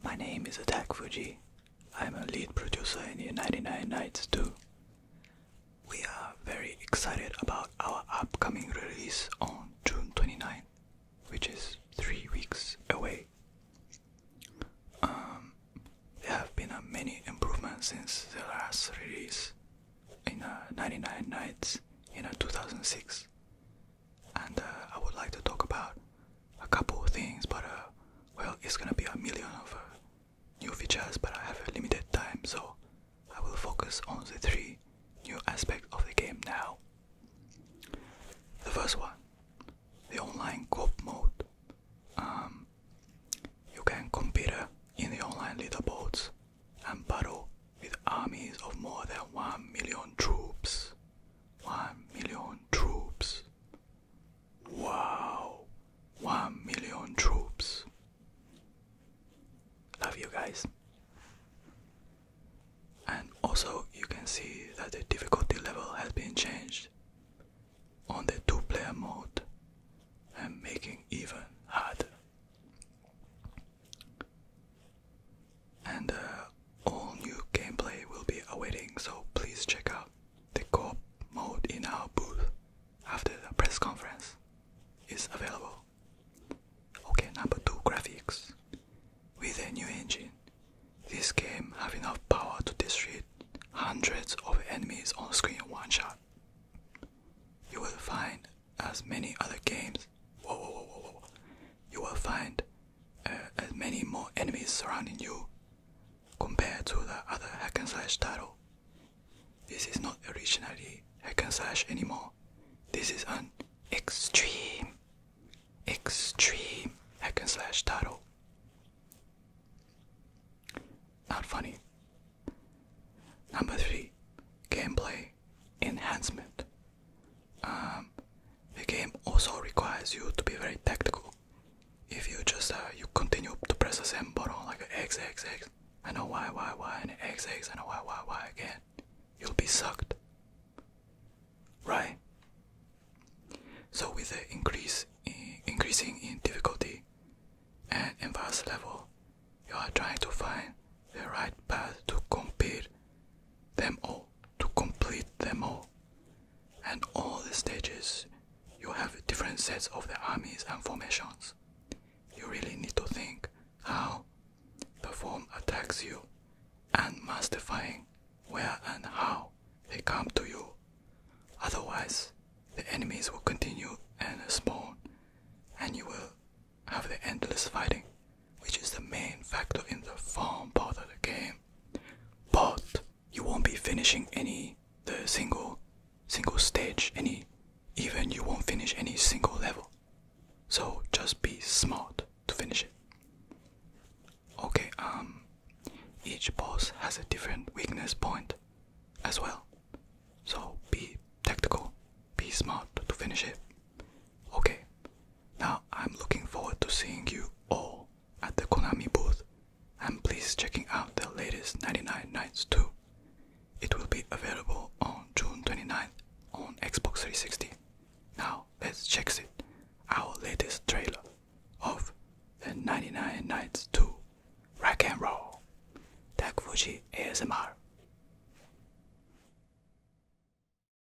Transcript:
My name is Attack Fuji. I'm a lead producer in the 99 Nights 2. We are very excited about our upcoming release on June 29th, which is three weeks away. Um, there have been uh, many improvements since the last release in uh, 99 Nights in uh, 2006, and I would like to talk about a couple of things, but well, it's gonna be a million of uh, new features, but I have a limited time, so I will focus on the three new aspects of the game now. The first one, the online co mode. Um, you can compete in the online leaderboards and battle with armies of more than 1 million troops. 1 million troops. Wow, one million troops. Love you guys. And also, you can see that the difficulty level has been changed on the two player mode and making even harder. And uh, all new gameplay will be awaiting, so please check out the coop mode in our booth after the press conference is available. Okay, number two, graphics. With a new engine, this game have enough power to destroy hundreds of enemies on screen in one shot. You will find, as many other games, whoa, whoa, whoa, whoa, whoa. you will find uh, as many more enemies surrounding you compared to the other hack and slash title. This is not originally hack and slash anymore. This is an extreme, extreme hack and slash title. Not funny. Number three, gameplay enhancement. Um, the game also requires you to be very tactical if you just uh, you continue to press the same button like X X X and a Y Y Y and X X and a Y Y Y again, you'll be sucked. Right? So with the increase increasing in difficulty and advanced level, you are trying to find the right path to compete them all, to complete them all and all the stages you have different sets of the armies and formations. You really need to think how the form attacks you and mystifying where and how they come to you. Otherwise, the enemies will continue and spawn, and you will have the endless fighting, which is the main factor in the form part of the game but you won't be finishing any the single single stage any even you won't finish any single level so just be smart to finish it okay um each boss has a different weakness point as well so be tactical be smart to finish it Okay, now I'm looking forward to seeing you all at the Konami booth and please checking out the latest 99 Nights 2. It will be available on June 29th on Xbox 360. Now let's check it, our latest trailer of the 99 Nights 2 Rock and Roll. Tak ASMR.